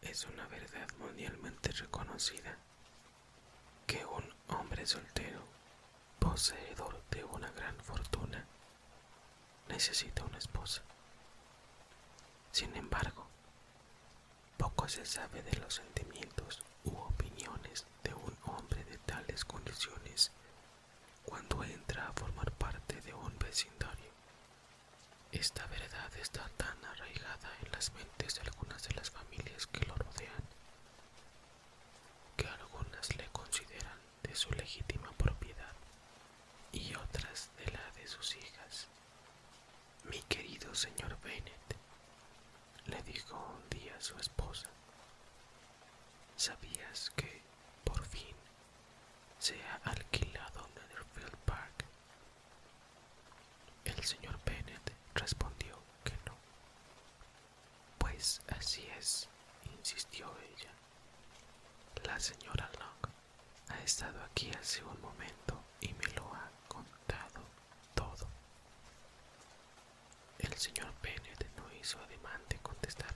Es una verdad mundialmente reconocida que un hombre soltero, poseedor de una gran fortuna, necesita una esposa. Sin embargo, poco se sabe de los sentimientos u opiniones de un hombre de tales condiciones cuando entra a formar parte de un vecindario. Esta verdad está tan arraigada en las mentes de algunas de las familias que lo rodean, que algunas le consideran de su legítima propiedad y otras de la de sus hijas. Mi querido señor Bennett, le dijo un día a su esposa, ¿sabías que por fin, se ha alquilado Netherfield Park. El señor Bennett respondió que no. Pues así es, insistió ella. La señora Long ha estado aquí hace un momento y me lo ha contado todo. El señor Bennett no hizo ademán de contestar.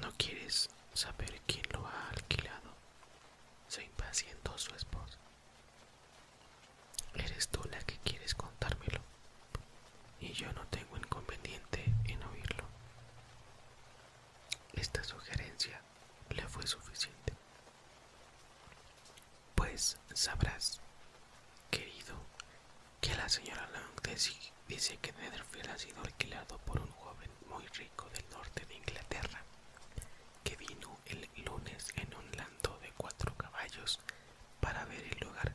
¿No quieres saber quién lo ha alquilado? Se impacientó su esposa. Eres tú la que quieres contármelo, y yo no tengo inconveniente en oírlo. Esta sugerencia le fue suficiente. Pues sabrás, querido, que la señora Lang dice que Netherfield ha sido alquilado por un joven muy rico del norte de Inglaterra, que vino el lunes en un lando de cuatro caballos para ver el lugar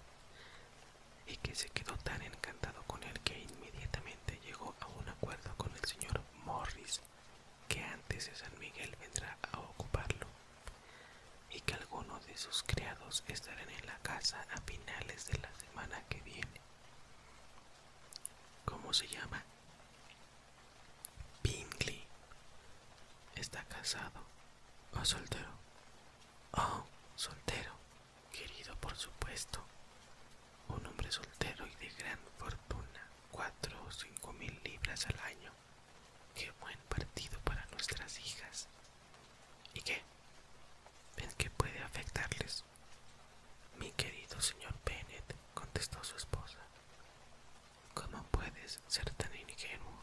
y que se quedó tan encantado con él que inmediatamente llegó a un acuerdo con el señor Morris que antes de San Miguel vendrá a ocuparlo y que alguno de sus criados estarán en la casa a finales de la semana que viene. ¿Cómo se llama? Bingley. ¿Está casado o soltero? Oh, soltero, querido por supuesto. Un hombre soltero y de gran fortuna, cuatro o cinco mil libras al año. Qué buen partido para nuestras hijas. ¿Y qué? ¿En que puede afectarles? Mi querido señor Bennett? contestó su esposa. ¿Cómo puedes ser tan ingenuo?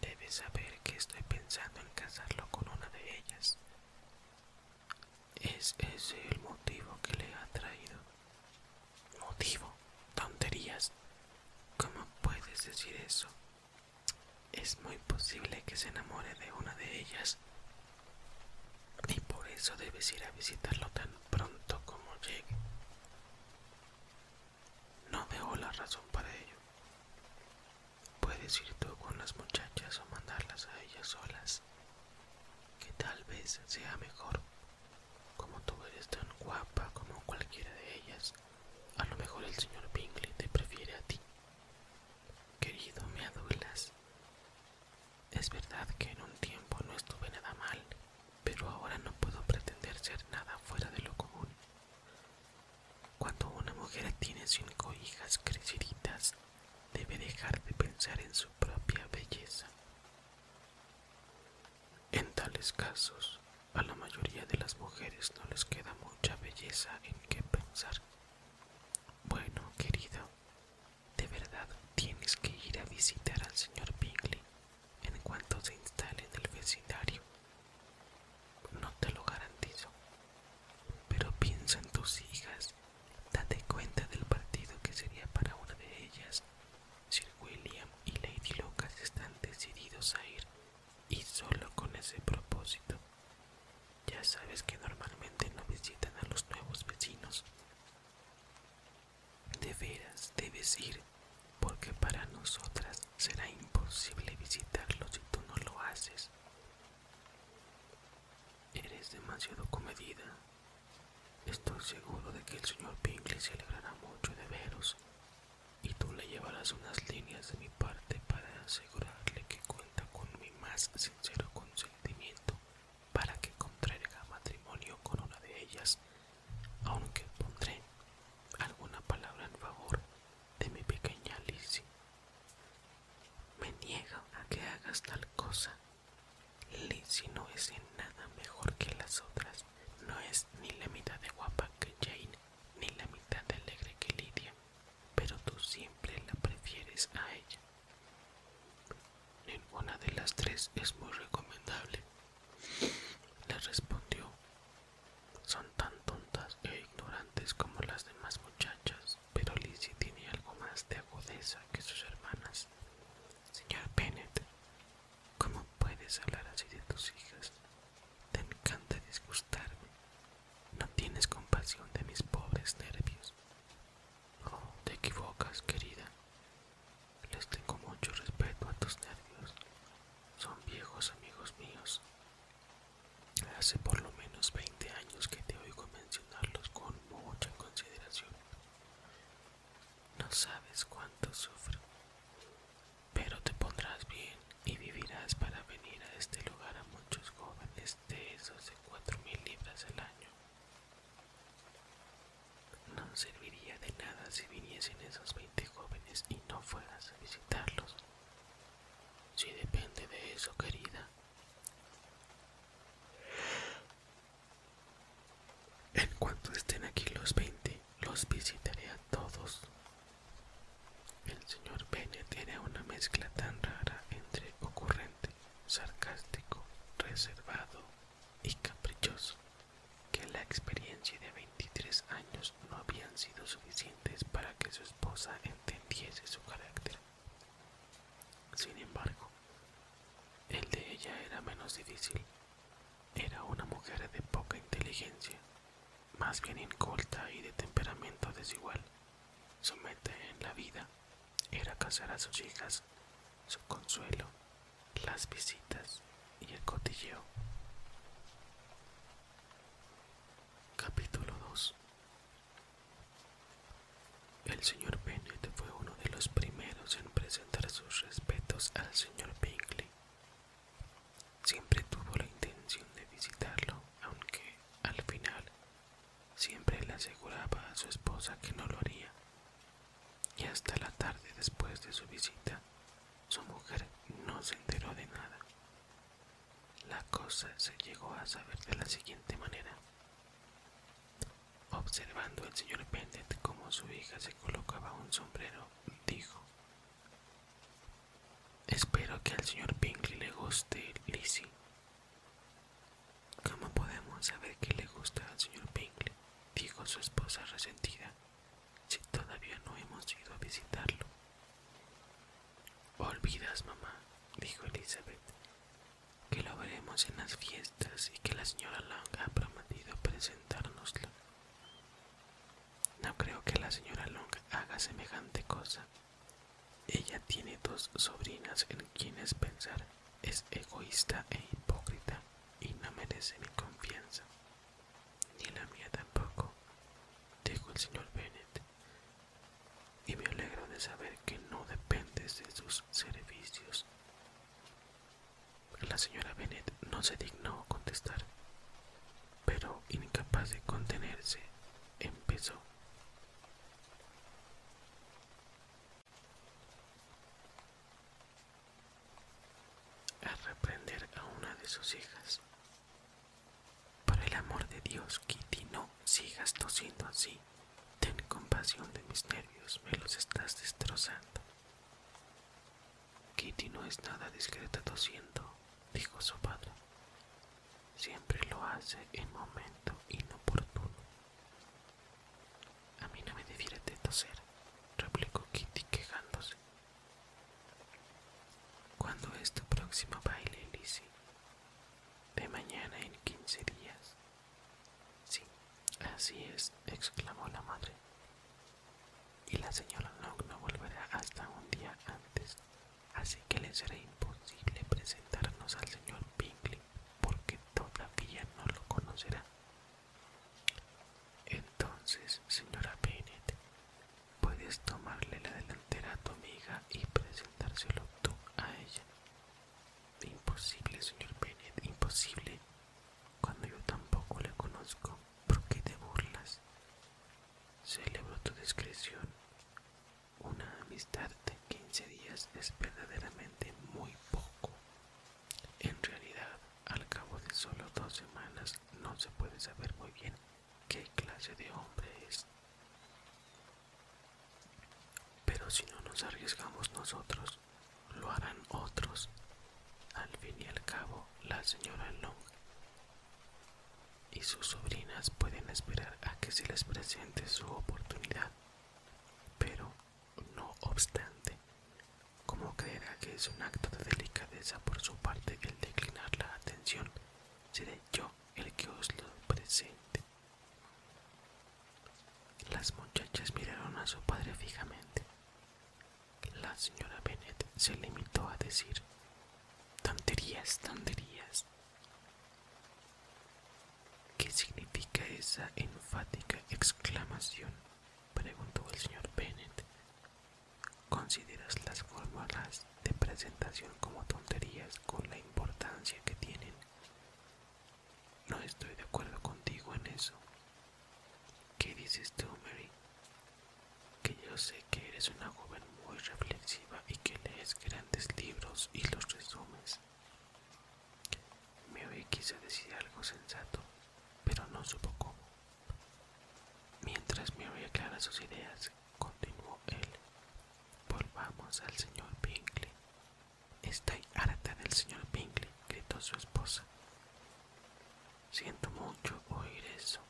Debes saber que estoy pensando en casarlo con una de ellas. ¿Es ese el motivo que le ha traído? ¿Motivo? Tonterías. ¿Cómo puedes decir eso? Es muy posible que se enamore de una de ellas y por eso debes ir a visitarlo tan pronto como llegue. No veo la razón para ello. Puedes ir tú con las muchachas o mandarlas a ellas solas, que tal vez sea mejor. Como tú eres tan guapa como cualquiera de ellas, a lo mejor el señor Bingley te prefiere a ti. Querido, mi adulas. Es verdad que en un tiempo no estuve nada mal, pero ahora no puedo pretender ser nada fuera de lo común. Cuando una mujer tiene cinco hijas creciditas, debe dejar de pensar en su propia belleza. En tales casos, a la mayoría de las mujeres no les queda mucha belleza en qué pensar. Bueno, querido, de verdad tienes que ir a visitar al señor Bingley en cuanto se instale en el vecindario. No te lo garantizo. Pero piensa en tus hijas. Date cuenta del partido que sería para una de ellas. Sir William y Lady Lucas están decididos a ir y solo con ese propósito. Ya sabes que normalmente no visitan a los nuevos vecinos. De veras, debes ir, porque para nosotras será imposible visitarlos si tú no lo haces. Eres demasiado comedida. Estoy seguro de que el señor Bingley se alegrará mucho de veros y tú le llevarás unas líneas de mi parte para asegurarle que cuenta con mi más sincero consentimiento para que contraiga matrimonio con una de ellas, aunque pondré alguna palabra en favor de mi pequeña Lizzie. Me niego a que hagas tal cosa. Lizzie no es en nada mejor que las otras. No es ni la mitad de guapa que Jane, ni la mitad de alegre que Lydia, pero tú siempre la prefieres a ella. Ninguna de las tres es muy recomendable, le respondió. Son tan tontas e ignorantes como las demás muchachas, pero Lizzie tiene algo más de agudeza que sus hermanas. Señor Bennett, ¿cómo puedes hablar así de tus hijas? Te encanta disgustarme. No tienes compasión de mis pobres nervios. no te equivocas, querida. Les tengo mucho respeto a tus nervios. Son viejos amigos míos. Hace por lo menos 20 años que te oigo mencionarlos con mucha consideración. No sabes cuánto sufro, pero te pondrás bien y vivirás para venir a este lugar a muchos jóvenes de esos de cuatro mil libras al año. No serviría de nada si viniesen esos 20 jóvenes y no fueras a visitarlos. Si depende de eso, querida. En cuanto estén aquí los 20 los visitaré a todos el señor Bennet tiene una mezcla tan rara entre ocurrente, sarcástico, reservado y caprichoso que la experiencia de veintitrés años no habían sido suficientes para que su esposa entendiese su carácter. Sin embargo, el de ella era menos difícil. Era una mujer de poca inteligencia, más bien inculta y de temperamento desigual. Su meta en la vida era casar a sus hijas, su consuelo, las visitas y el cotilleo. Capítulo 2 El señor Bennett fue uno de los primeros en presentar sus respetos al señor Bingley. Siempre tuvo la intención de visitarlo, aunque al final siempre le aseguraba a su esposa que no lo haría. Y hasta la tarde después de su visita, su mujer no se enteró de nada. La cosa se llegó a saber de la siguiente manera. Observando el señor Bennett cómo su hija se colocaba un sombrero, dijo Espero que al señor Pinkley le guste Lizzie. ¿Cómo podemos saber que le gusta al señor Pinkley? Dijo su esposa resentida. Si todavía no hemos ido a visitarlo. Olvidas, mamá, dijo Elizabeth, que lo veremos en las fiestas y que la señora Long ha prometido presentárnoslo. No creo que la señora Long haga semejante cosa, ella tiene dos sobrinas en quienes pensar es egoísta e hipócrita y no merece mi confianza, ni la mía tampoco, dijo el señor Bennett, y me alegro de saber que no dependes de sus servicios. La señora Bennett no se dignó contestar pero incapaz de contenerse, empezó. A reprender a una de sus hijas. Por el amor de Dios, Kitty, no sigas tosiendo así. Ten compasión de mis nervios, me los estás destrozando. Kitty no es nada discreta tosiendo, dijo su padre. Siempre lo hace en momento inoportuno. A mí no me debieras de toser, replicó Kitty quejándose. ¿Cuándo es tu próximo baile, Lizzie? De mañana en quince días. Sí, así es, exclamó la madre. Y la señora Long no volverá hasta un día antes así que le será imposible presentarnos al señor Pinkley, porque todavía no lo conocerá. Entonces, señora Bennett, puedes tomarle la delantera a tu amiga y presentárselo tú a ella. Imposible, señor Bennett, imposible, cuando yo tampoco le conozco. ¿Por qué te burlas? Celebro tu discreción, una amistad de 15 días es verdaderamente muy poco. En realidad, al cabo de solo dos semanas no se puede saber muy bien qué clase de hombre es. Pero si no nos arriesgamos nosotros, lo harán otros. Al fin y al cabo, la señora Long y sus sobrinas pueden esperar a que se les presente su oportunidad. Pero, no obstante, como creerá que es un acto de delicadeza por su parte el declinar la atención, seré yo el que os lo presente. Las muchachas miraron a su padre fijamente. La señora Bennet se limitó a decir, tonterías, tonterías. ¿Qué significa esa enfática exclamación? preguntó el señor Bennett ¿Consideras las fórmulas de presentación como tonterías con la importancia que tienen? No estoy de acuerdo contigo en eso. ¿Qué dices tú, Mary? Que yo sé que eres una joven muy reflexiva y que lees grandes libros y los resumes. Mary quiso decir algo sensato, pero no supo cómo. Mientras Mary clara sus ideas, continuó él. Volvamos al señor Pinkley. Estoy harta del señor Pinkley, gritó su esposa. Siento mucho oír eso.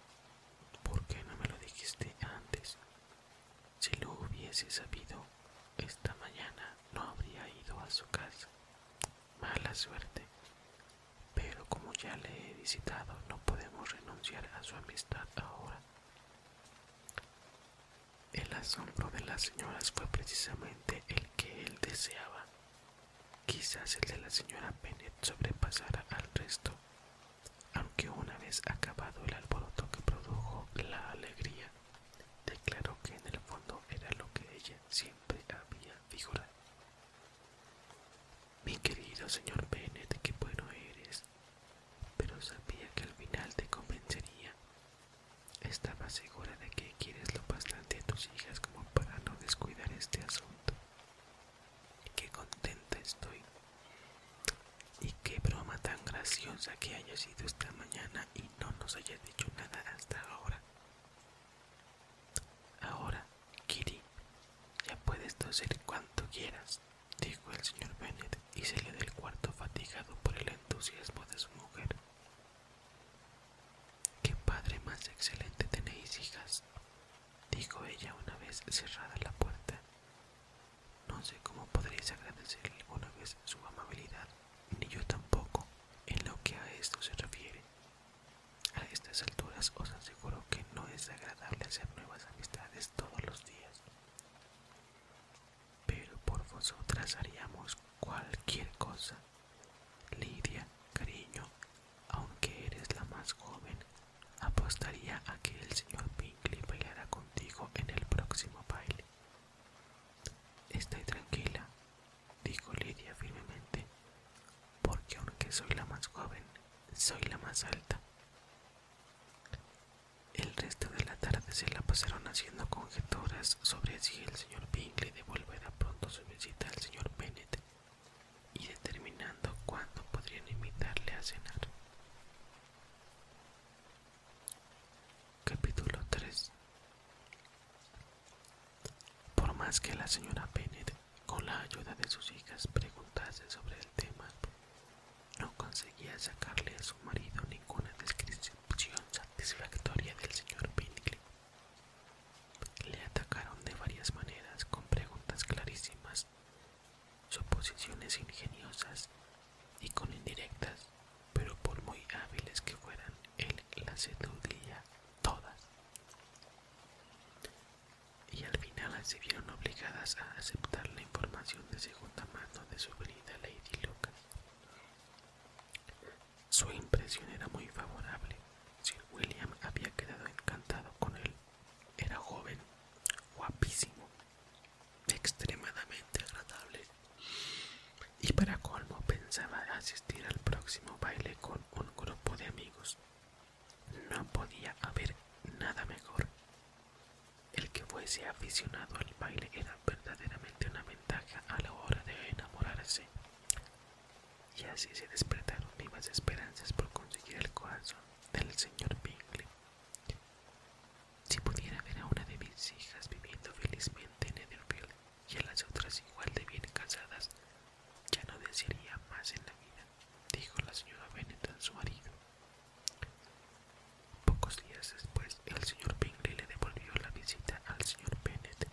¿Por qué no me lo dijiste antes? Si lo hubiese sabido, esta mañana no habría ido a su casa. Mala suerte. Pero como ya le he visitado, no podemos renunciar a su amistad ahora. El asombro de las señoras fue precisamente el que él deseaba. Quizás el de la señora Bennett sobrepasara al resto, aunque una vez acabado el alboroto que produjo la alegría, declaró que en el fondo era lo que ella siempre había figurado. Mi querido señor Bennet, qué bueno eres, pero sabía que al final te convencería. Estaba segura de que quieres lo bastante a tus hijas como para no descuidar este asunto. Y Qué contenta estoy y qué broma tan graciosa que haya sido esta mañana y no nos hayas dicho nada hasta ahora. Ahora, Kitty, ya puedes toser cuanto quieras, dijo el señor Bennett y salió del cuarto fatigado por el entusiasmo de su mujer. Qué padre más excelente tenéis, hijas, dijo ella una vez cerrada la puerta. No sé cómo podréis agradecerle alguna vez su amabilidad, ni yo tampoco, en lo que a esto se refiere. A estas alturas os aseguro que no es agradable hacer nuevas amistades todos los días. Pero por vosotras haríamos cualquier cosa. Lidia, cariño, aunque eres la más joven, Apostaría a que el señor Bingley bailara contigo en el próximo baile. Estoy tranquila, dijo Lidia firmemente, porque aunque soy la más joven, soy la más alta. El resto de la tarde se la pasaron haciendo conjeturas sobre si el señor Bingley devolverá pronto su visita al señor Bennett y determinando cuándo podrían invitarle a cenar. Capítulo 3 Por más que la señora Bennet, con la ayuda de sus hijas, preguntase sobre el tema, no conseguía sacarle a su marido ninguna descripción satisfactoria del señor Bingley. Le atacaron de varias maneras con preguntas clarísimas suposiciones ingeniosas y con indirectas, pero por muy hábiles que fueran, él las deducía todas. Y al final se vieron obligadas a aceptar la información de segunda mano de su querida Lady Lucas. Su impresión era muy favorable. Sir William había quedado encantado con él. Era joven, guapísimo, extremadamente agradable. Y para colmo pensaba asistir al próximo baile con un grupo de amigos. No podía haber nada mejor. El que fuese aficionado al baile era verdaderamente una ventaja a la hora de enamorarse. Y así se despertaron vivas esperanzas por conseguir el corazón del señor Bingley. Si pudiera ver a una de mis hijas viviendo felizmente en Netherfield y a las otras igual de bien casadas, ya no desearía más en la vida, dijo la señora Bennet a su marido. Pocos días después, el señor Bingley le devolvió la visita al señor Bennet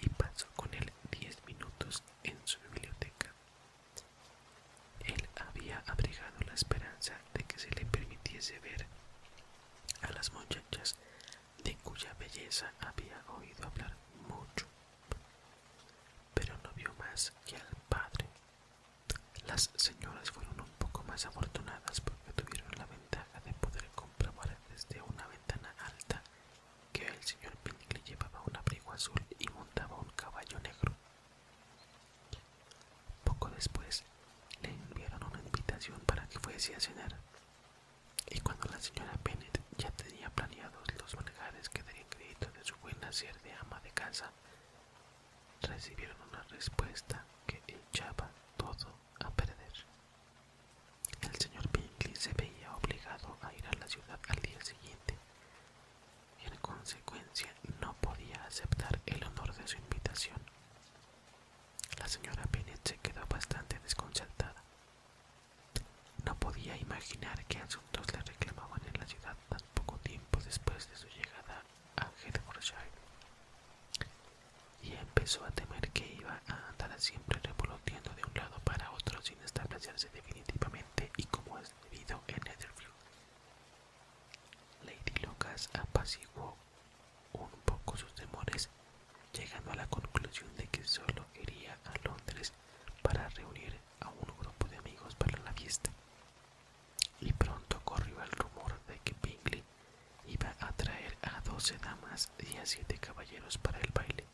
y pasó con él diez minutos en su biblioteca. Él había abrigado la esperanza de que se le permitiese ver a las muchachas de cuya belleza había oído hablar mucho, pero no vio más que al padre. Las señoras fueron un poco más afortunadas porque tuvieron la ventaja de poder comprobar desde una ventana alta que el señor Pinkley llevaba un abrigo azul y montaba un caballo negro. Poco después le enviaron una invitación para que fuese a cenar, y cuando la señora Bennet ya tenía planeados los manejares que darían crédito de su buen hacer de ama de casa, recibieron una respuesta que echaba todo a perder. El señor Bingley se veía obligado a ir a la ciudad al día siguiente en consecuencia no podía aceptar el honor de su invitación. La señora Bennet se quedó bastante desconcertada. No podía imaginar qué asuntos le reclamaban en la ciudad tan poco tiempo después de su llegada a Hertfordshire, y empezó a temer que iba a andar siempre revoloteando de un lado para otro sin establecerse definitivamente y como es debido en Netherfield. Lady Lucas apaciguó un poco sus temores, llegando a la conclusión de que solo iría a Londres para reunir a un grupo de amigos para la fiesta. Y pronto corrió el rumor de que Bingley iba a traer a doce damas y a siete caballeros para el baile.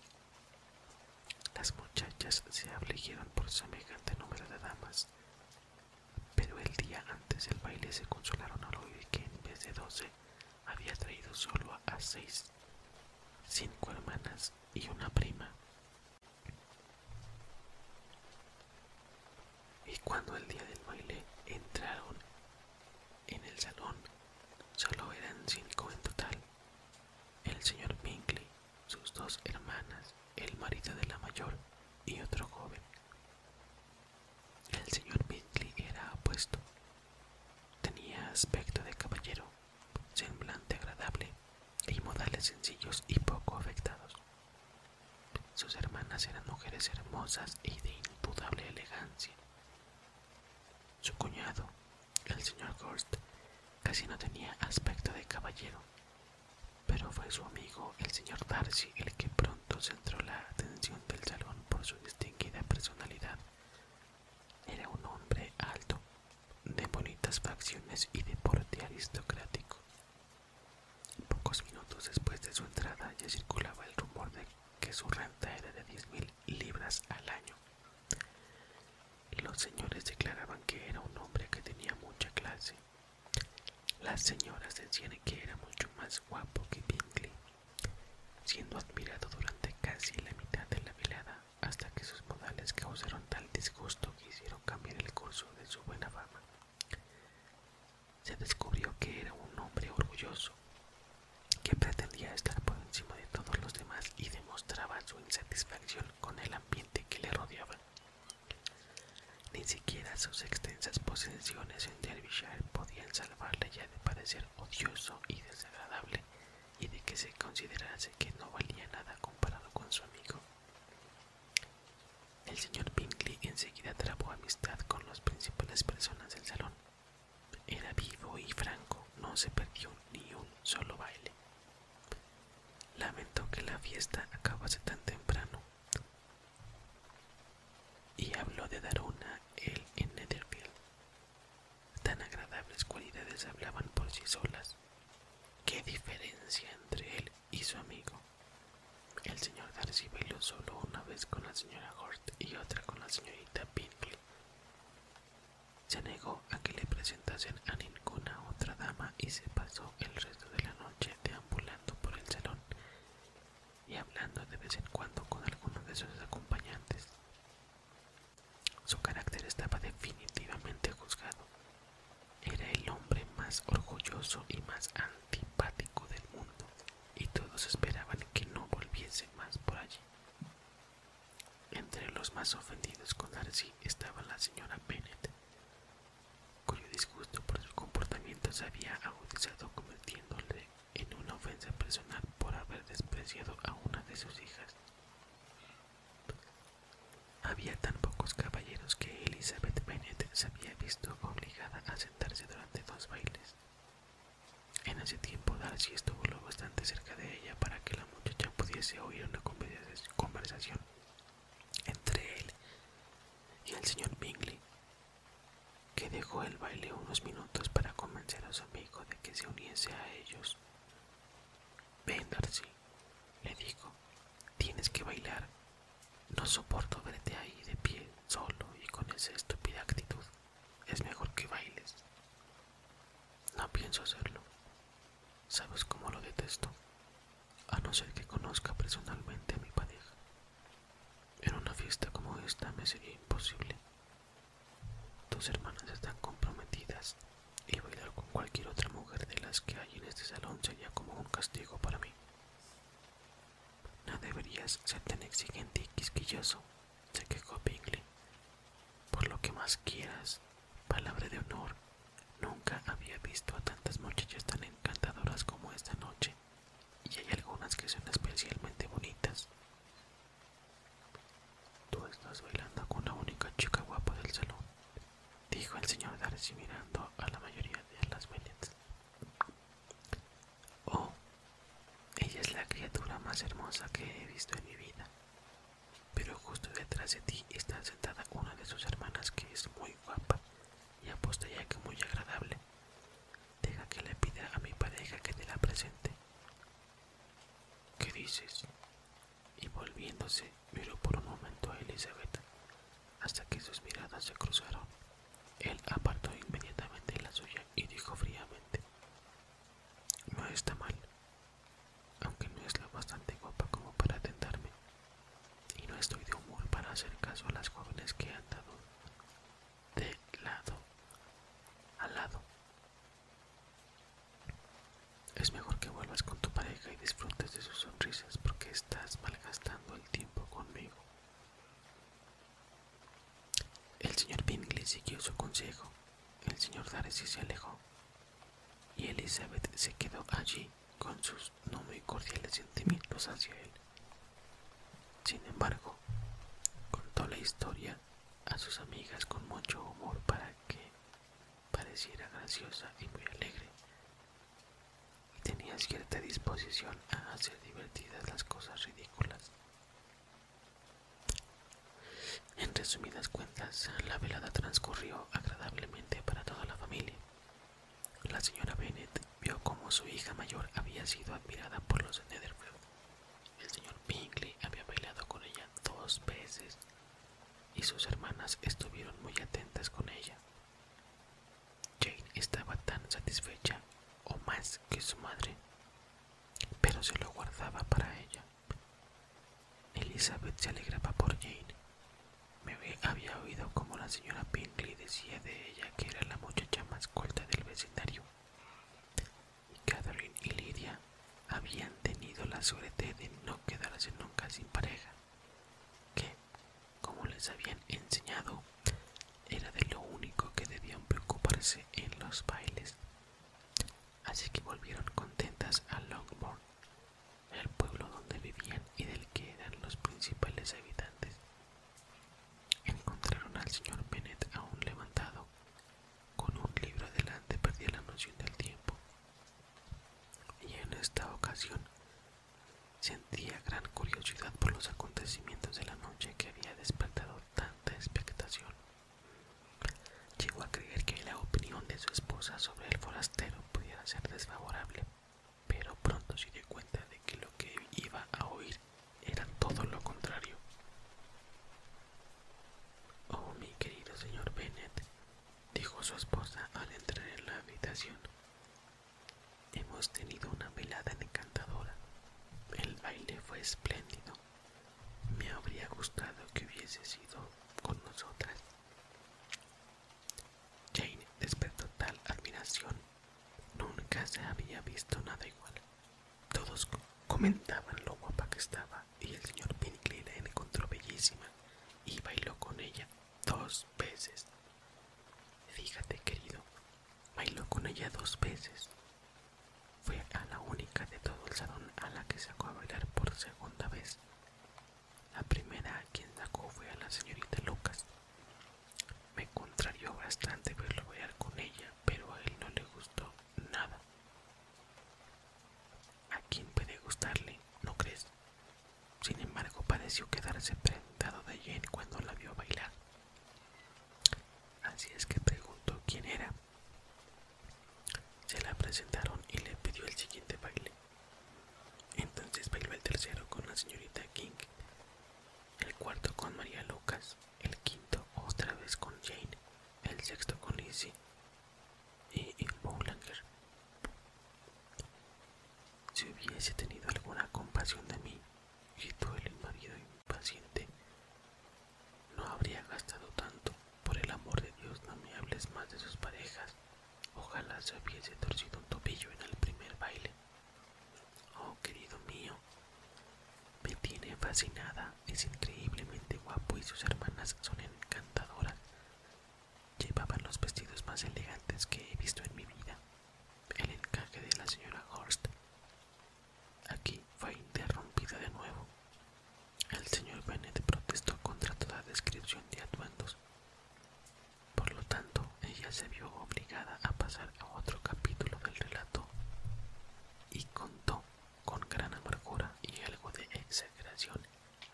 Las muchachas se afligieron por semejante número de damas, pero el día antes del baile se consolaron a oír que en vez de doce había traído solo a seis, cinco hermanas y una prima. Y cuando el día del baile entraron en el salón, solo eran cinco en total. El señor Pinkley, sus dos hermanas, el marido de la mayor y otro joven. El señor Bentley era apuesto. Tenía aspecto de caballero, semblante agradable y modales sencillos y poco afectados. Sus hermanas eran mujeres hermosas y de indudable elegancia. Su cuñado, el señor Gorst, casi no tenía aspecto de caballero, pero fue su amigo, el señor Darcy, el que pronto centró la atención del salón por su distinguida personalidad. Era un hombre alto, de bonitas facciones y de porte aristocrático. Pocos minutos después de su entrada ya circulaba el rumor de que su renta era de 10.000 libras al año. Los señores declaraban que era un hombre que tenía mucha clase las señoras decían que era mucho más guapo que Bingley, siendo admirado durante casi la mitad de la velada hasta que sus modales causaron tal disgusto que hicieron cambiar el curso de su buena fama. Se descubrió que era un hombre orgulloso, que pretendía estar por encima de todos los demás y demostraba su insatisfacción con el ambiente que le rodeaba. Ni siquiera sus extensas posesiones en Derbyshire podían salvarle ya de parecer odioso y desagradable y de que se considerase que no valía nada comparado con su amigo. El señor pinkley enseguida trabó amistad con las principales personas del salón. Era vivo y franco, no se perdió ni un solo baile. Lamentó que la fiesta acabase tan temprano, y habló de Daruna él en Netherfield. Tan agradables cualidades hablaban por sí solas. ¿Qué diferencia entre él y su amigo? El señor Darcy velo solo una vez con la señora Hort y otra con la señorita Pinkley. Se negó a que le presentasen a ninguna otra dama y se pasó el resto de la noche deambulando por el salón y hablando de vez en cuando con alguno de sus acompañantes. Su carácter estaba definitivamente juzgado. Era el hombre más orgulloso y más antipático del mundo, y todos esperaban que no volviese más por allí. Entre los más ofendidos con Darcy estaba la señora Bennet, cuyo disgusto por su comportamiento se había agudizado convirtiéndole en una ofensa personal por haber despreciado a una de sus hijas. Había tan pocos caballeros que Elizabeth Bennet se había visto obligada a sentarse durante dos bailes. En ese tiempo Darcy estuvo lo bastante cerca de ella para que la muchacha pudiese oír una conversación entre él y el señor Bingley, que dejó el baile unos minutos para convencer a su amigo de que se uniese a ellos. Ven, le dijo, tienes que bailar. No soporto verte ahí de pie, solo y con esa estúpida actitud. Es mejor que bailes. No pienso hacerlo. Sabes cómo lo detesto. A no ser que conozca personalmente a mi pareja. En una fiesta como esta me sería imposible. Tus hermanas están comprometidas y bailar con cualquier otra mujer de las que hay en este salón sería como un castigo para mí. No deberías ser tan exigente y quisquilloso, se quejó Bingley. Por lo que más quieras, palabra de honor, nunca había visto a tantas muchachas tan encantadoras como esta noche y hay algunas que son especialmente bonitas. Tú estás bailando con la única chica guapa del salón, dijo el señor Darcy mirando a la mayoría de las mujeres Oh, ella es la criatura más hermosa que he visto en mi vida. Pero justo detrás de ti está sentada una de sus hermanas que es muy guapa y aposta ya que muy agradable. Deja que le pida a mi pareja que te la presente. ¿Qué dices? Y volviéndose, miró por un momento a Elizabeth, hasta que sus miradas se cruzaron. Él apartó inmediatamente la suya y dijo fríamente, No está mal, aunque no es la bastante guapa como para tentarme, y no estoy de humor para hacer caso a las jóvenes que han dado de lado a lado. Es mejor que vuelvas con tu pareja y disfrutes de sus sonrisas porque estás malgastando el tiempo conmigo. El señor Bingley siguió su consejo, el señor Darcy se alejó y Elizabeth se quedó allí con sus no muy cordiales sentimientos hacia él. Sin embargo, contó la historia a sus amigas con mucho humor para que pareciera graciosa y muy alegre, y tenía cierta disposición a hacer divertidas las cosas ridículas. En resumidas cuentas, la velada transcurrió agradablemente para toda la familia, la señora Bennet vio cómo su hija mayor había sido admirada por los de Netherfield. El señor Bingley había bailado con ella dos veces y sus hermanas estuvieron muy atentas con ella. Jane estaba tan satisfecha o más que su madre, pero se lo guardaba para ella. Elizabeth se alegraba por Jane me había oído como la señora Pinkley decía de ella que era la muchacha más culta del vecindario. Y Catherine y Lydia habían tenido la suerte de no quedarse nunca sin pareja, que, como les habían enseñado, era de lo único que debían preocuparse en los bailes. Así que volvieron contentas a Longbourn, el pueblo donde vivían y del que eran los principales habitantes. Encontraron al señor Bennett aún levantado, con un libro delante perdía la noción del tiempo, y en esta ocasión sentía gran curiosidad por los acontecimientos de la noche que había despertado tanta expectación. Llegó a creer que la opinión de su esposa sobre el forastero pudiera ser desfavorable, pero pronto se dio cuenta de que lo que iba a oír era todo lo contrario. Oh, mi querido señor Bennet, dijo su esposa al entrar en la habitación. Hemos tenido una velada encantadora. El baile fue espléndido. Me habría gustado que hubiese sido con nosotras. Jane despertó tal admiración Nunca se había visto nada igual. Todos comentaban lo guapa que estaba y el señor Pinkley la encontró bellísima y bailó con ella dos veces. Fíjate, querido, bailó con ella dos veces. Fue a la única de todo el salón a la que sacó a bailar por segunda vez. La primera a quien sacó fue a la señorita Lucas, me contrarió bastante verlo pues, bailar con ella, pero a él no le gustó nada. ¿A quién puede gustarle? ¿No crees? Sin embargo, pareció quedarse preguntado de Jane cuando la vio bailar. Así es que preguntó quién era. Se la presentaron y le pidió el siguiente baile. Entonces bailó el tercero con la señorita King el cuarto con María Lucas, el quinto otra vez con Jane, el sexto con Lizzie y, el Boulanger. Si hubiese tenido alguna compasión de mí, gritó el marido impaciente, no habría gastado tanto. Por el amor de Dios, no me hables más de sus parejas. Ojalá se hubiese torcido un tobillo en el primer baile. Oh, querido mío, me tiene fascinada, es increíblemente guapo y sus hermanas son encantadoras. Llevaban los vestidos más elegantes que he visto en mi vida. El encaje de la señora Horst. Aquí fue interrumpida de nuevo. El señor Bennett protestó contra toda descripción de atuendos. Por lo tanto, ella se vio obligada a pasar a otro capítulo del relato y contó con gran amargura y algo de exageración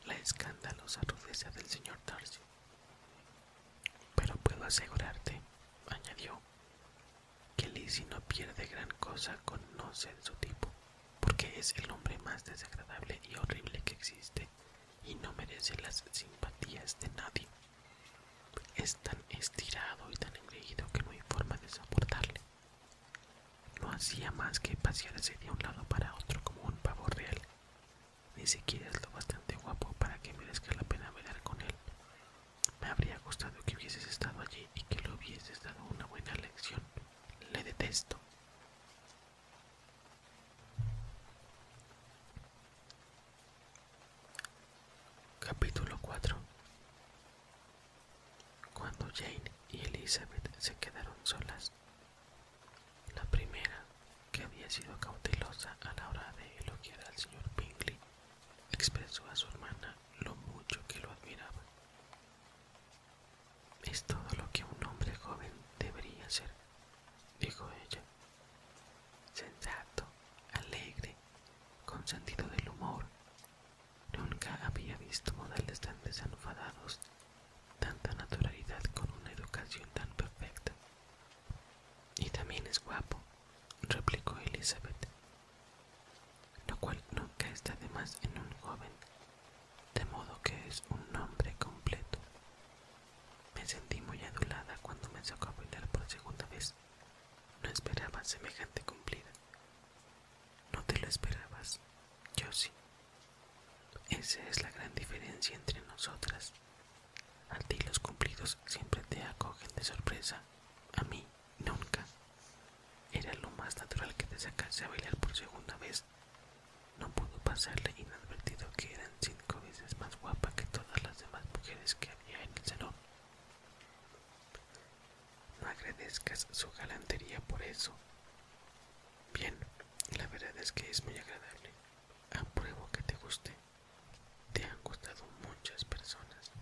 la escandalosa rudeza del señor Darcy. Pero puedo asegurarte, añadió, que Lizzie no pierde gran cosa con no ser su tipo, porque es el hombre más desagradable y horrible que existe y no merece las simpatías de nadie. Es tan estirado y tan engreído que no hay forma de soportarle. No hacía más que pasearse de un lado para otro como un pavo real. Ni siquiera es lo bastante guapo para que merezca la pena velar con él. Me habría gustado que hubieses estado allí y que le hubieses dado una buena lección. Le detesto. Capítulo 4 Cuando Jane y Elizabeth se quedaron solas, la primera, que había sido cautelosa a la hora de elogiar al señor Bingley, expresó a su hermana lo mucho que lo admiraba. Es todo lo que un hombre joven debería ser dijo ella. Sensato, alegre, con sentido del humor. Nunca había visto modales tan desenfadados, tanta naturalidad con una educación tan perfecta. Y también es guapo, replicó Elizabeth, lo cual nunca está de más en un joven, de modo que es un nombre completo. Me sentí muy adulada cuando me sacó a bailar por segunda vez. No esperaba semejante cumplida. No te lo esperabas, yo sí. Esa es la gran diferencia entre nosotras. A ti los cumplidos siempre te acogen de sorpresa, a mí nunca. Era lo más natural que te sacase a bailar por segunda vez. No pudo pasarle inadvertido que era cinco veces más guapa que todas las demás mujeres que había en el salón. No agradezcas su galantería por eso. Bien, la verdad es que es muy agradable. Apruebo que te guste. Te han gustado muchas personas.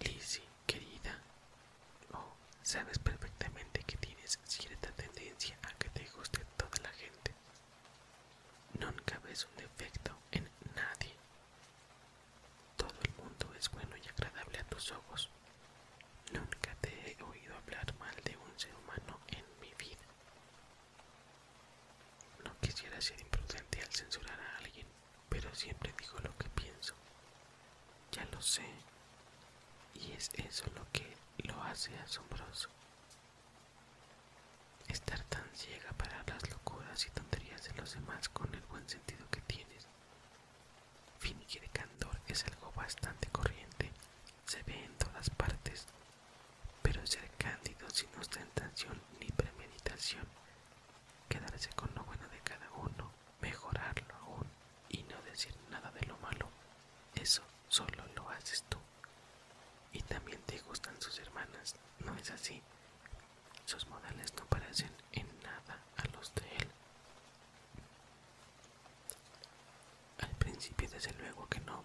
Lizzie, querida, oh, sabes perfectamente que tienes cierta tendencia a que te guste toda la gente. Nunca ves un defecto en nadie. Todo el mundo es bueno y agradable a tus ojos. Nunca te he oído hablar mal de un ser humano en mi vida. No quisiera ser imprudente al censurar a alguien, pero siempre digo lo que pienso. Ya lo sé. Y es eso lo que lo hace asombroso. Estar tan ciega para las locuras y tonterías de los demás con el buen sentido que tienes. de candor es algo bastante corriente, se ve en todas partes, pero ser cándido sin ostentación ni premeditación, quedarse con lo bueno de cada uno, mejorarlo aún y no decir nada de lo malo, eso solo lo haces tú. Y también te gustan sus hermanas, ¿no es así? Sus modales no parecen en nada a los de él. Al principio desde luego que no,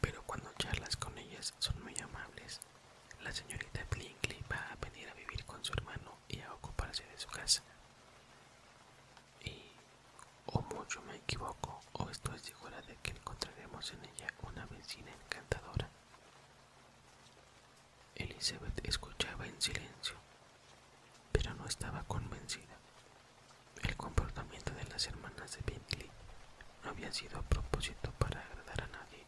pero cuando charlas con ellas son muy amables. La señorita Blinkley va a venir a vivir con su hermano y a ocuparse de su casa y o mucho me equivoco o estoy segura de que encontraremos en ella una vecina encantadora. Elizabeth escuchaba en silencio, pero no estaba convencida. El comportamiento de las hermanas de Bentley no había sido a propósito para agradar a nadie.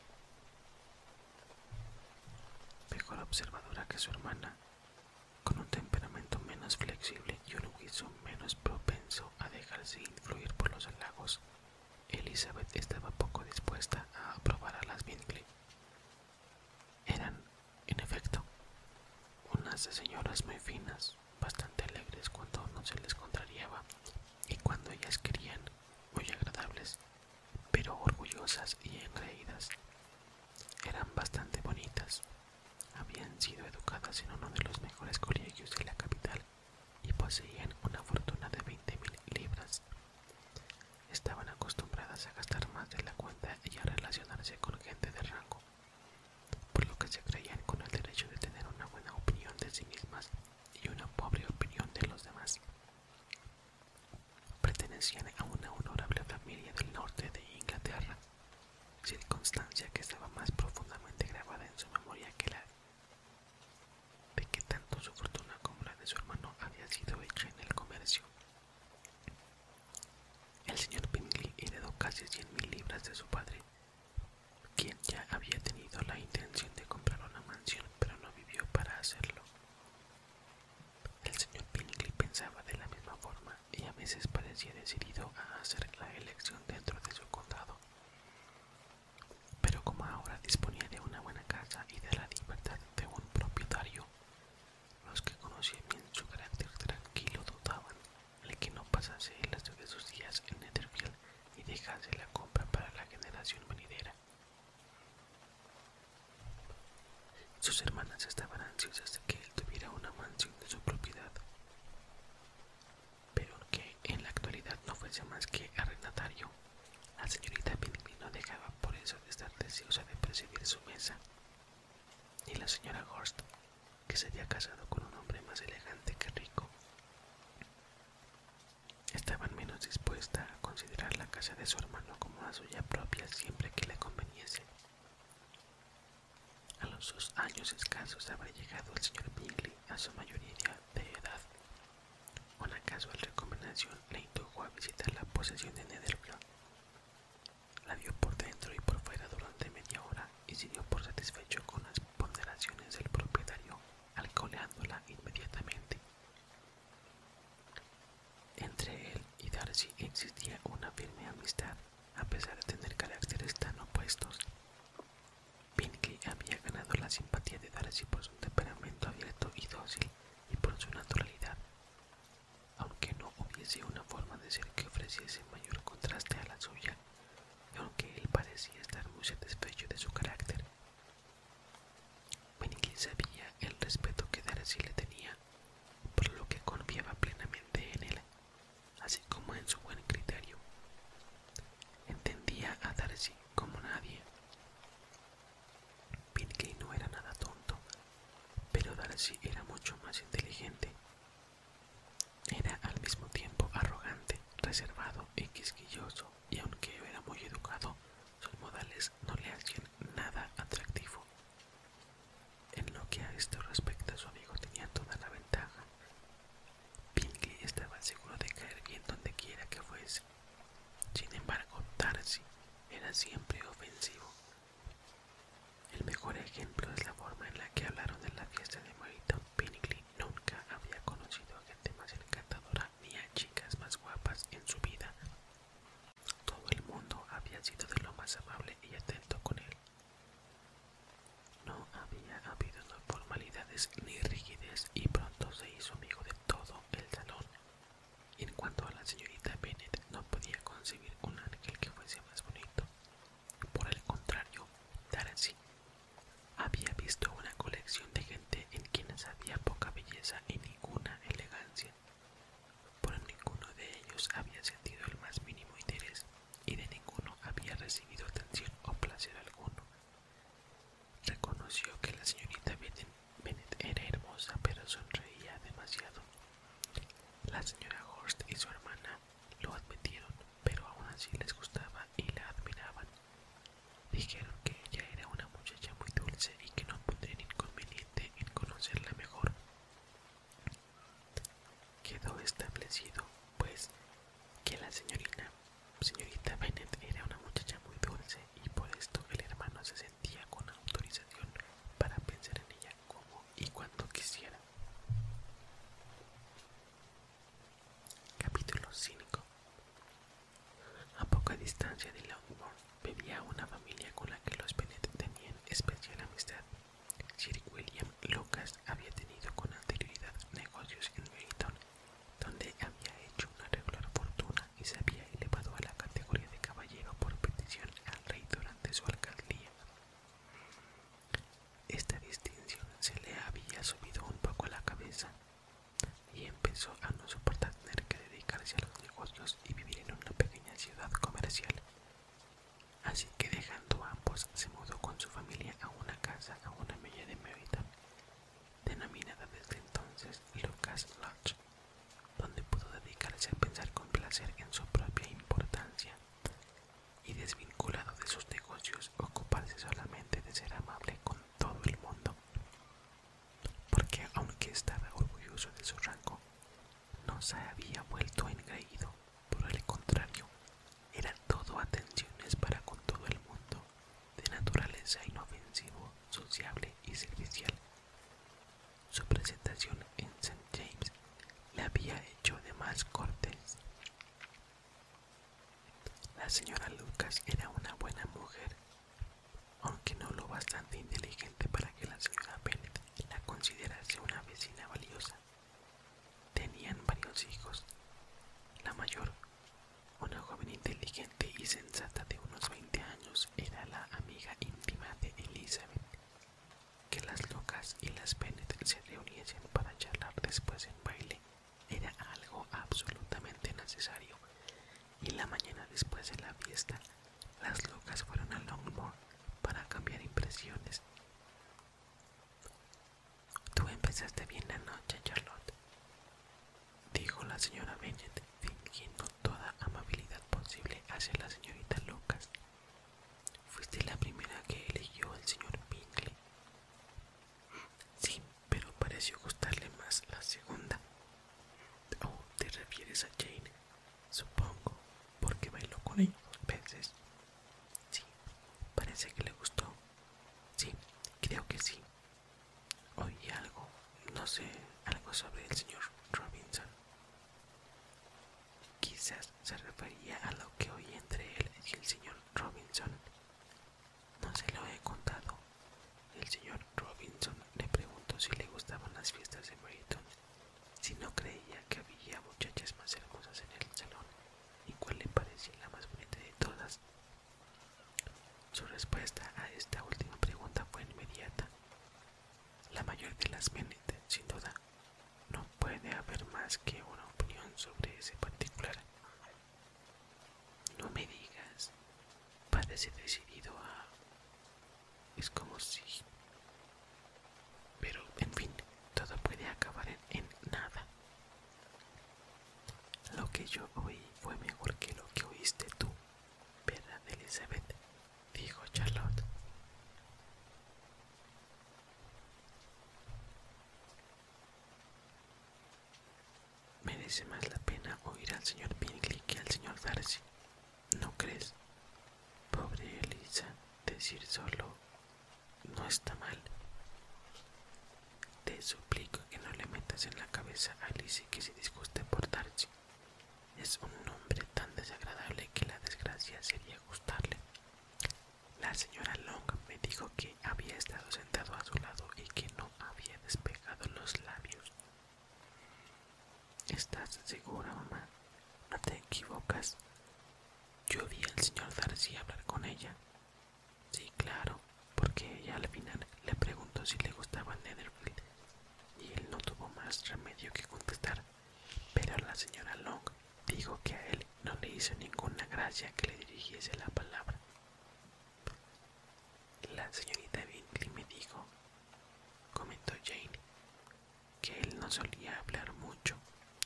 Mejor observadora que su hermana, con un temperamento menos flexible y un juicio menos propenso a dejarse influir por los halagos, Elizabeth estaba poco dispuesta a aprobar a las Bingley. Eran, en efecto, unas señoras muy finas, bastante alegres cuando no se les contrariaba y cuando ellas querían, muy agradables, pero orgullosas y enreídas, Eran bastante bonitas, habían sido educadas en uno de los mejores colegios de la capital y poseían una fortuna de 20.000 libras. Estaban acostumbradas a gastar más de la cuenta y a relacionarse con gente de rango, por lo que se creían con el derecho de tener una buena opinión de sí mismas y una pobre opinión de los demás. Pertenecían a una honorable familia del norte de Inglaterra circunstancia que estaba más profundamente grabada en su memoria que la de que tanto su fortuna como la de su hermano había sido hecha en el comercio. El señor Pinkley heredó casi cien mil libras de su padre, quien ya había tenido la intención de comprar una mansión, pero no vivió para hacerlo. El señor Pinkley pensaba de la misma forma y a veces parecía decidido a hacer la elección dentro de su condado. Pero como ahora disponía de una buena casa y de la libertad de un propietario, los que conocían bien su carácter tranquilo dudaban de que no pasase el resto de sus días en Netherfield y dejase la compra para la generación venidera. Sus hermanas estaban ansiosas de que él tuviera una mansión de su propiedad pero que en la actualidad no fuese más que arrendatario. La señorita Pinimi no dejaba por eso de estar deseosa de presidir su mesa. Y la señora Horst, que se había casado con un hombre más elegante que rico, estaba menos dispuesta a considerar la casa de su hermano como la suya propia siempre que le conveniese. A los dos años escasos habrá llegado el señor Bingley a su mayoría de edad. Una casual recomendación le indujo a visitar la posesión de Netherfield. La vio por dentro y por fuera durante media hora y se dio por satisfecho con las ponderaciones del propietario, alcoholándola inmediatamente. Entre él y Darcy existía una firme amistad a pesar de tener caracteres tan opuestos. Pinky había ganado la simpatía de Darcy por su temperamento abierto y dócil y por su naturalidad, aunque no hubiese una forma de ser que ofreciese mayor contraste a la suya, y aunque él parecía estar muy satisfecho de su carácter. Pinky sabía el respeto que Darcy le tenía, por lo que confiaba plenamente en él así como en su buen criterio. Entendía a Darcy como nadie. Pinkley no era nada tonto, pero Darcy era mucho más inteligente. Era al mismo tiempo arrogante, reservado y quisquilloso, y aunque era muy educado, sus modales no le hacían nada atractivo. En lo que a esto respecta, su amigo tenía toda la ventaja Pinky estaba seguro de caer bien donde quiera que fuese. Sin embargo, Darcy era siempre ofensivo. El mejor ejemplo es la forma en la que hablaron de la fiesta de Moreton. Pinkley nunca había conocido a gente más encantadora ni a chicas más guapas en su vida. Todo el mundo había sido de lo más amable y atento con él. No había habido formalidades ni rigidez y pronto se hizo amigo de todo el salón. En cuanto a la señorita Bennet, no podía concebir un ángel que fuese más bonito. Por el contrario, Darcy había visto una colección de gente en quienes había poca belleza y ninguna elegancia. Por ninguno de ellos había sentido el más mínimo interés y de ninguno había recibido atención o placer alguno. Reconoció que la señorita Bennett era hermosa, pero sonreía demasiado. La señora Horst y su hermana lo admitieron, pero aún así les gustaba y la admiraban. Dijeron que ella era una muchacha muy dulce y que no ningún inconveniente en conocerla mejor. Quedó establecido, pues, que la señorita señorita Bennet era una muchacha muy dulce y por esto el hermano se sentía con autorización para pensar en ella como y cuando quisiera. Capítulo 5 A poca distancia de Longbourn vivía una familia con la que los Bennet tenían especial amistad. Sir William Lucas había tenido con anterioridad negocios en Milton, donde había hecho una regular fortuna y se había elevado a la categoría de caballero por petición al rey durante su alcaldía. Esta distinción se le había subido un poco a la cabeza y empezó a no soportar tener que dedicarse a los negocios y vivir en una pequeña ciudad comercial. Así que dejando ambos, se mudó con su familia a una casa a una milla de mérida denominada desde entonces Lucas Lodge, donde pudo dedicarse a pensar con placer en su propia importancia y desvinculado de sus negocios, ocuparse solamente de ser amable con todo el mundo. Porque aunque estaba orgulloso de su rango, no se había vuelto engreído por el contrario, era todo atenciones para con todo el mundo, de naturaleza inofensivo, sociable y servicial. Su presentación en St. James le había hecho de más cortes. La señora Lucas era una buena mujer, aunque no lo bastante inteligente para que la señora Bennett la considerase una vecina valiosa. Tenían varios hijos. La mayor, una joven inteligente y sensata de unos 20 años, era la amiga íntima de Elizabeth. Que las locas y las Bennet se reuniesen para charlar después en baile era algo absolutamente necesario, y la mañana después de la fiesta, las locas fueron a Longmore para cambiar impresiones. Tú empezaste bien la noche, Charlotte, dijo la señora Bennet, fingiendo toda amabilidad posible hacia la señorita Lucas. Fuiste la primera que eligió al señor Bingley. Sí, pero pareció gustarle más la segunda. Oh, te refieres a Jane, supongo, porque bailó con ella penses? veces Sí, parece que le gustó. Sí, creo que sí. Oí algo, no sé, algo sobre el señor Robinson. Quizás se refería a lo que oí entre él y el señor Robinson. No se lo he contado. El señor Robinson le preguntó si le gustaban las fiestas de Brighton. si no creía que había muchachas más hermosas en el salón y cuál le parecía la más bonita de todas. Su respuesta a esta última pregunta fue inmediata. La mayor de las bonitas, sin duda. No puede haber más que una opinión sobre ese particular. No me digas, parece decidido a... Es como si... Pero, en fin, todo puede acabar en nada. Lo que yo oí fue mejor que lo que oíste tú, ¿verdad, Elizabeth? dijo Charlotte. Merece más la pena oír al señor Bingley que al señor Darcy, ¿no crees? Pobre Elisa, decir solo no está mal. Te suplico que no le metas en la cabeza a Lizzie que se disguste por Darcy. Es un hombre tan desagradable que la desgracia sería gustarle. La señora Long me dijo que había estado sentado a su lado y que no había despegado los labios. ¿Estás segura, mamá? No te equivocas. Yo vi al señor Darcy hablar con ella. Sí, claro, porque ella al final le preguntó si le gustaba Netherfield y él no tuvo más remedio que contestar, pero la señora Long dijo que a él no le hizo ninguna gracia que le dirigiese la palabra. La señorita Bingley me dijo, comentó Jane, que él no solía hablar mucho,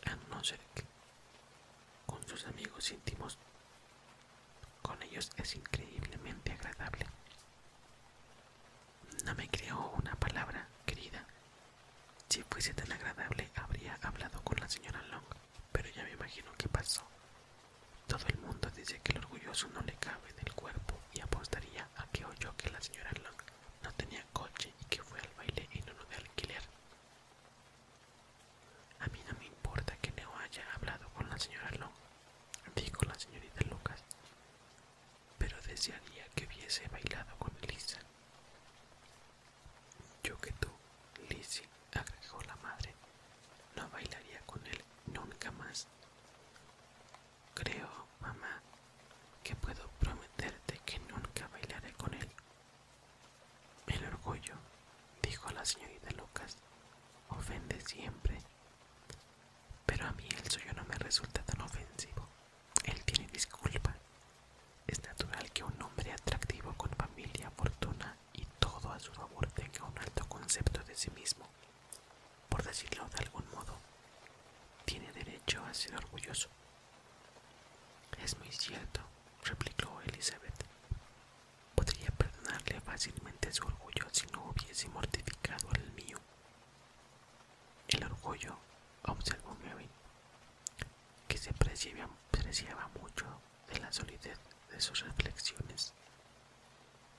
a no ser que con sus amigos íntimos. Con ellos es increíblemente agradable. No me creo una palabra, querida. Si fuese tan agradable habría hablado con la señora Long, pero ya me imagino qué pasó. Todo el mundo dice que el orgulloso no le cabe del cuerpo y apostaría a que oyó que la señora Long no tenía coche y que fue al baile en uno de alquiler. A mí no me importa que no haya hablado con la señora Long, dijo la señorita Lucas, pero desearía que hubiese bailado con Lisa. Yo que tú, Lizzie, agregó la madre, no bailaría con él nunca más. Creo, mamá, que puedo prometerte que nunca bailaré con él el orgullo, dijo la señorita Lucas, ofende siempre. Pero a mí el suyo no me resulta tan ofensivo. Él tiene disculpa. Es natural que un hombre atractivo con familia, fortuna y todo a su favor tenga un alto concepto de sí mismo. Por decirlo de algún modo, tiene derecho a ser orgulloso. Es muy cierto, replicó Elizabeth. Podría perdonarle fácilmente su orgullo si no hubiese mortificado el mío. El orgullo, observó Mary, que se preciaba apreciaba mucho de la solidez de sus reflexiones,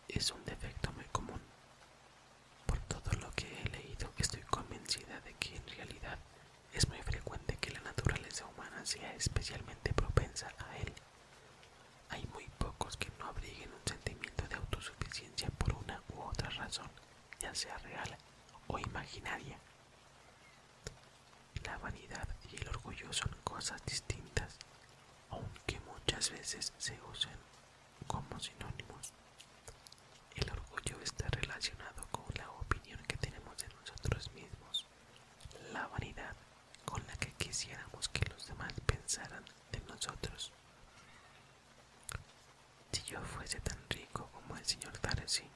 es un defecto muy común. Por todo lo que he leído, estoy convencida de que en realidad es muy frecuente que la naturaleza humana sea especialmente propensa a él. Hay muy pocos que no abriguen un sentimiento de autosuficiencia por una u otra razón, ya sea real o imaginaria. La vanidad y el orgullo son cosas distintas, aunque muchas veces se usan como sinónimos. El orgullo está relacionado con la opinión que tenemos de nosotros mismos la vanidad con la que quisiéramos que los demás pensaran de nosotros. Si yo fuese tan rico como el señor Darcy,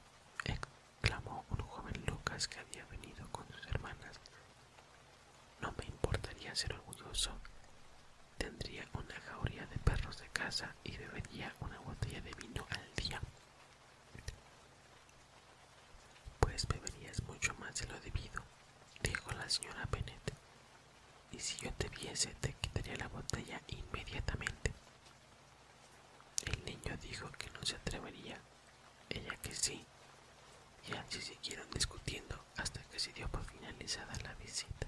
exclamó un joven Lucas que había venido con sus hermanas, no me importaría ser orgulloso. Tendría una jauría de perros de casa y bebería una botella de vino al día. Pues beberías mucho más de lo debido, dijo la señora Bennet. Y si yo te viese, te quitaría la botella inmediatamente. El niño dijo que no se atrevería, ella que sí, y así siguieron discutiendo hasta que se dio por finalizada la visita.